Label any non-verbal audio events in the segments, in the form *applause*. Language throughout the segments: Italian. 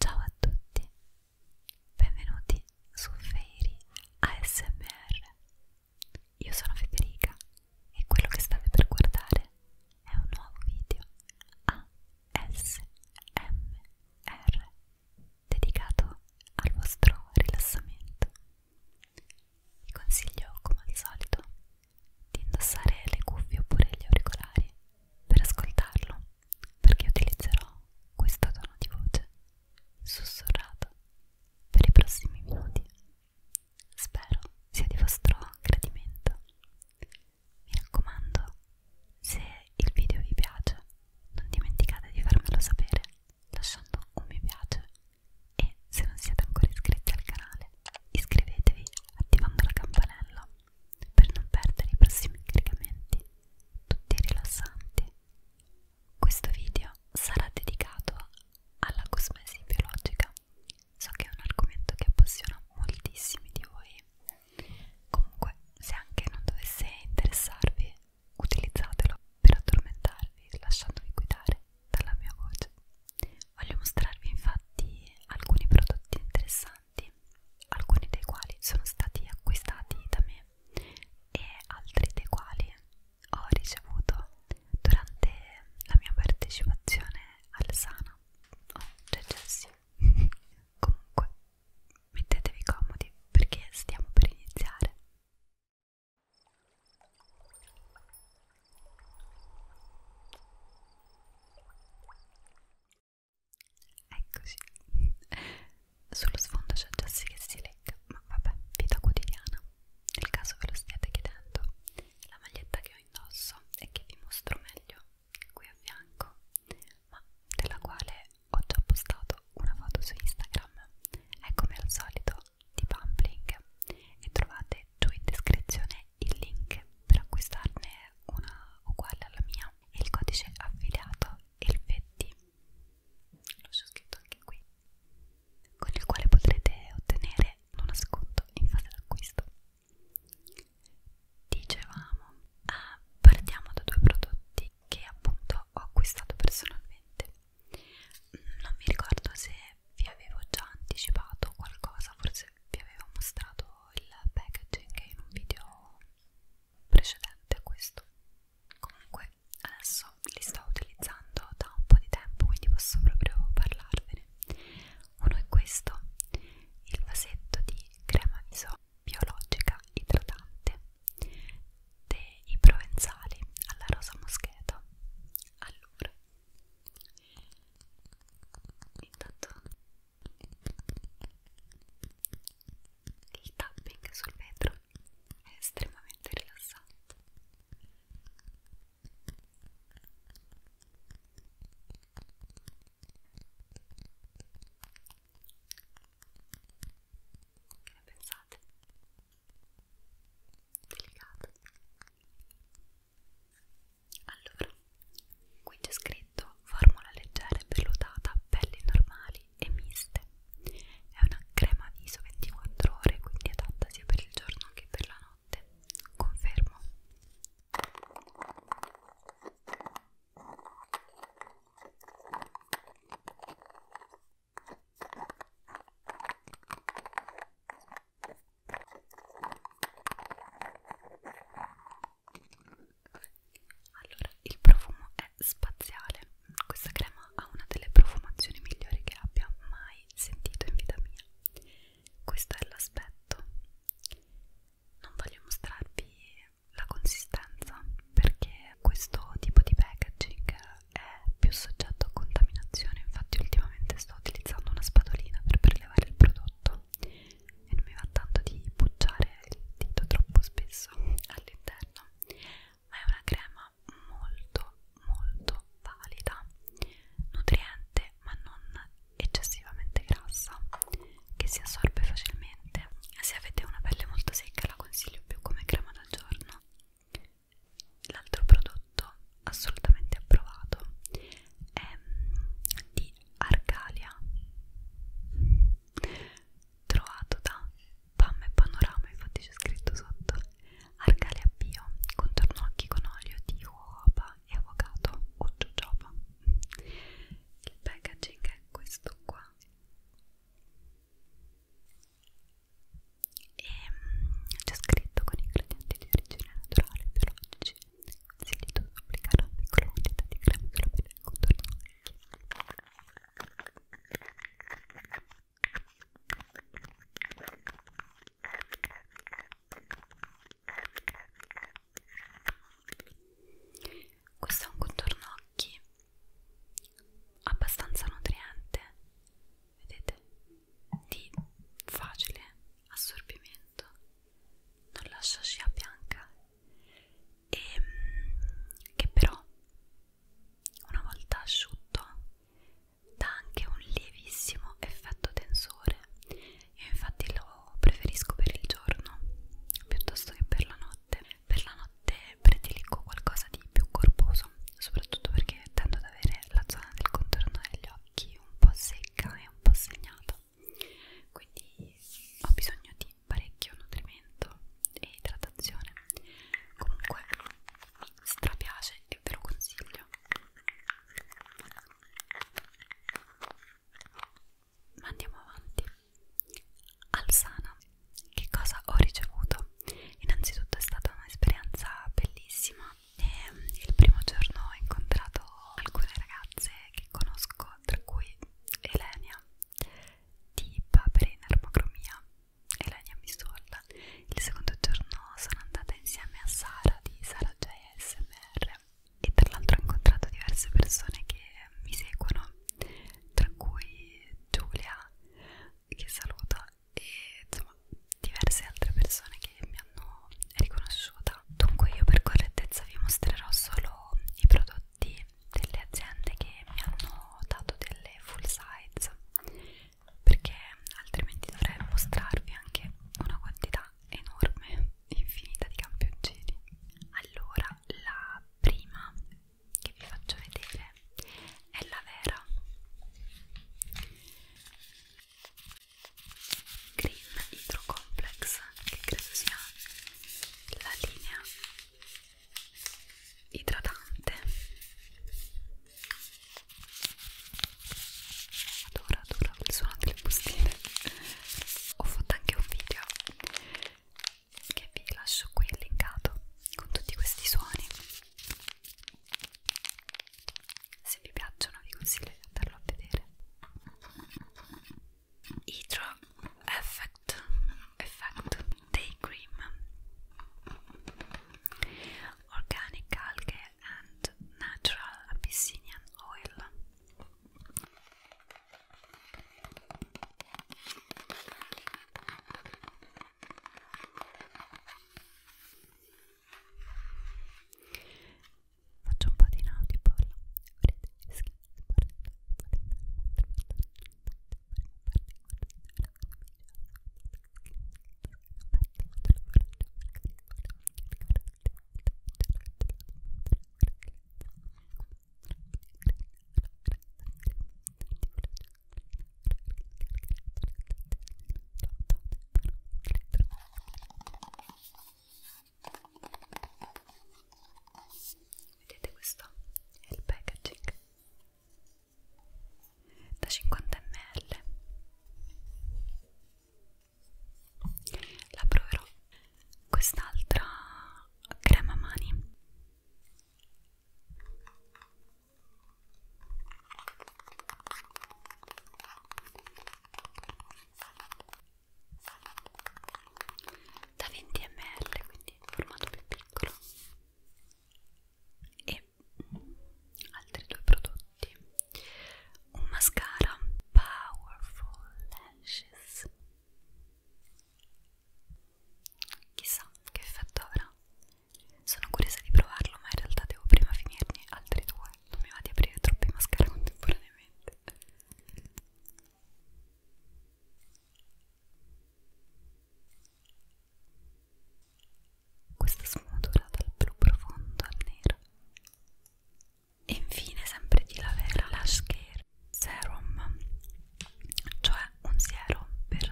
Ciao a tutti, benvenuti su Fairy ASMR. Io sono Federica e quello che state per guardare è un nuovo video ah, ASMR dedicato al vostro rilassamento. Vi consiglio, come al solito, di indossare le cuffie oppure gli auricolari per ascoltarlo, perché utilizzerò questo tono di voce sussurrato per i prossimi minuti. Spero sia di vostro gradimento. Mi raccomando, se il video vi piace, non dimenticate di farmelo sapere lasciando un mi piace e se non siete ancora iscritti al canale, iscrivetevi attivando la campanella per non perdere i prossimi caricamenti, tutti rilassanti. Questo video sarà dedicato alla cosmesi biologica. So che è un argomento che appassiona moltissimi di voi Comunque, se anche non dovesse interessarvi, utilizzatelo per addormentarvi lasciandovi guidare dalla mia voce. Voglio mostrarvi infatti alcuni prodotti interessanti, alcuni dei quali sono stati acquistati da me e altri dei quali ho ricevuto durante la mia partecipazione al Sana. Oh, c'è Jessie. *laughs* Comunque, mettetevi comodi perché stiamo per iniziare. Eccoci, sullo sfondo c'è Jessie che si lecca, ma vabbè, vita quotidiana. Nel caso ve lo stiate chiedendo, la maglietta che ho indosso e che vi mostro meglio qui a fianco ma della quale ho già postato una foto su Instagram è come al solito di Pumpling e trovate giù in descrizione il link per acquistarne una uguale alla mia e il codice affiliato Elfetti lo c'ho scritto anche qui con il quale potrete ottenere uno sconto in fase d'acquisto dicevamo eh, ah, partiamo da due prodotti che appunto ho acquistato personalmente non mi ricordo se vi avevo già anticipato qualcosa forse vi avevo mostrato il packaging in un video precedente a questo comunque adesso li sto utilizzando da un po' di tempo quindi posso proprio parlarvene uno è questo il vasetto di crema viso biologica idratante dei provenzali alla rosa moscheta allora intanto il tapping sul vetro è estremamente rilassante che ne pensate? Delicato. Allora, qui c'è scritto formula leggera e vellutata, pelli normali e miste. È una crema viso 24 ore, quindi adatta sia per il giorno che per la notte. Confermo. Allora, il profumo è spaziale. Questa crema ha una delle profumazioni migliori che abbia mai sentito in vita mia. Questo è l'aspetto non voglio mostrarvi la consistenza perché questo tipo di packaging è più soggetto a contaminazione infatti ultimamente sto utilizzando una spatolina per prelevare il prodotto e non mi va tanto di bucciare il dito troppo spesso all'interno ma è una crema molto molto valida nutriente ma non eccessivamente grassa che si assorbe facilmente se avete una pelle molto secca la consiglio più come crema da giorno l'altro prodotto assolutamente approvato è mm, di Arcalia trovato da Pam e Panorama infatti c'è scritto sotto Arcalia Bio contorno occhi con olio di uova e avocado o jojoba il packaging è questo qua e mm, c'è scritto con ingredienti di origine naturale e biologici consiglio di applicare una piccola quantità di crema sulla pelle del contorno occhi questo è un contorno occhi abbastanza nutriente vedete di facile assorbimento non lascia scia bianca e mm, che però una volta asciutto dà anche un lievissimo effetto tensore io infatti lo preferisco per il giorno piuttosto che per la notte. Per la notte prediligo qualcosa di più corposo, soprattutto perché tendo ad avere la zona del contorno degli occhi un po' secca e un po' segnata. Quindi ho bisogno di parecchio nutrimento e idratazione. Comunque si trapiace e ve lo consiglio ma andiamo avanti Alsana che cosa ho ricevuto? innanzitutto è stata un'esperienza bellissima e ehm, il primo giorno ho incontrato alcune ragazze che conosco tra cui Elenia di Papere in Armocromia Elenia Misulla il secondo giorno sono andata insieme a Sara di Sara JSMR Twitter e tra l'altro ho incontrato diverse persone che mi seguono, tra cui Giulia che saluto e insomma diverse altre persone che mi hanno riconosciuta. Dunque io per correttezza vi mostrerò solo i prodotti delle aziende che mi hanno dato delle full size perché altrimenti dovrei mostrarvi anche una quantità quantità enorme, infinita di campioncini. Allora, la prima che vi faccio vedere è la vera Green Hydro Complex, che credo sia la linea idratante adoro adoro il suono delle bustine ho fatto anche un video che vi lascio qui linkato con tutti questi suoni se vi piacciono vi consiglio di andarlo a vedere Hydro Effect Effect Day Cream Organic Algae and Natural Abyssinian Oil Faccio un po' di nautipolla. Aspetta, Vedete questo? È il packaging da 50 ml la proverò quest'altra crema mani da 20 ml quindi formato più piccolo e altri due prodotti prodotti un mascara Powerful Lashes chissà che effetto avrà sono curiosa di provarlo ma in realtà devo prima finirne altri due non mi va di aprire troppi mascara *laughs* contemporaneamente questa sfumatura dal blu profondo al nero e infine sempre di la vera Lash Care Serum cioè un siero per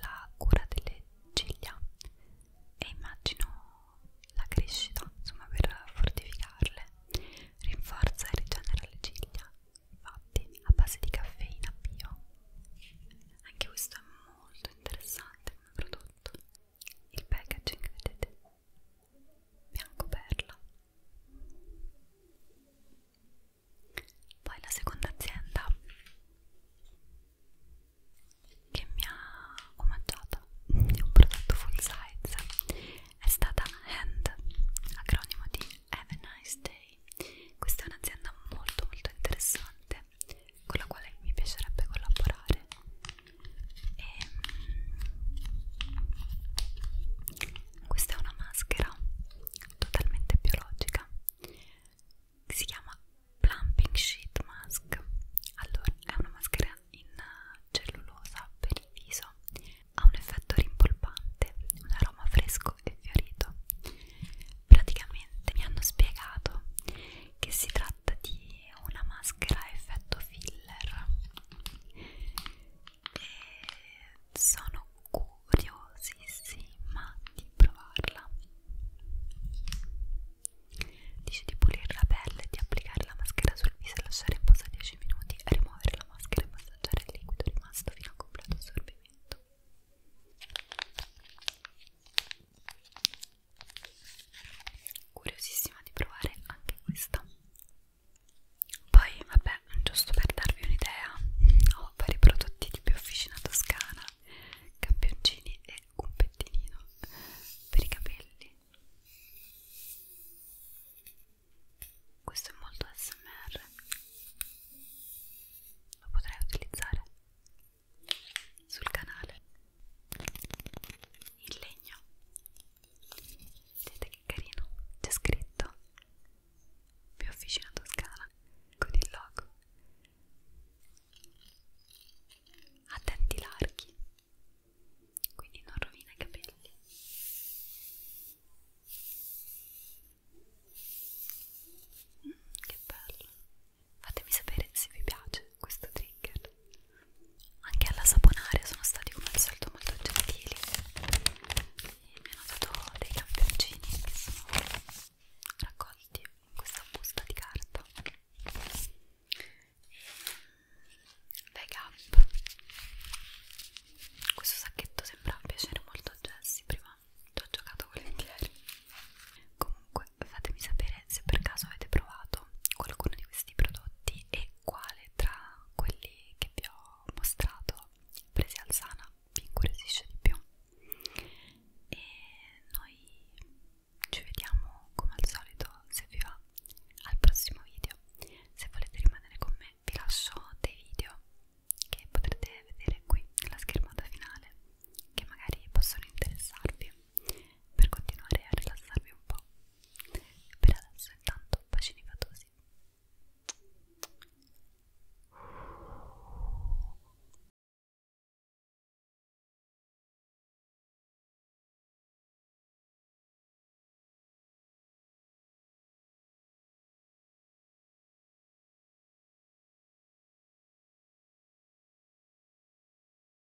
la cura delle ciglia e immagino la crescita insomma per fortificarle rinforza e rigenera le ciglia fatti a base di caffeina bio anche questo è molto interessante come prodotto il packaging vedete bianco perla poi la seconda azienda che mi ha omaggiata di un prodotto full size è stata HAND acronimo di Have a Nice Day questa è un'azienda molto molto interessante con la quale mi piacerebbe collaborare e ehm, questa è una maschera totalmente biologica che si chiama Plumping Sheet Mask allora è una maschera in cellulosa per il viso ha un effetto rimpolpante un aroma fresco e fiorito praticamente mi hanno spiegato che si tratta tratta di una maschera a effetto filler e sono curiosissima di provarla dice di pulire la pelle, di applicare la maschera sul viso e lasciare in posa 10 minuti rimuovere la maschera e massaggiare il liquido rimasto fino a completo assorbimento curiosissima di provare anche questa poi vabbè giusto per darvi un'idea ho vari prodotti di Biofficina Toscana campioncini e un pettinino per i capelli questo è molto smr lo potrei utilizzare sul canale in legno vedete che carino c'è scritto più officina toscana con il logo attenti larghi quindi non rovina i capelli mm, che bello fatemi sapere se vi piace questo trigger anche alla saponaria sono stati come al solito molto gentili e mi hanno dato dei campioncini che sono raccolti in questa busta di carta Bag mm, Up questo sacchetto sembra piacere molto a Jessie prima ci ho giocato volentieri comunque fatemi sapere se per caso avete provato qualcuno di questi prodotti e quale tra quelli che vi ho mostrato presi al sana vi incuriosisce di più e noi ci vediamo come al solito se vi va al prossimo video se volete rimanere con me vi lascio dei video che potrete vedere qui nella schermata finale che magari possono interessarvi per continuare a rilassarvi un po'. Per adesso intanto bacini fatosi.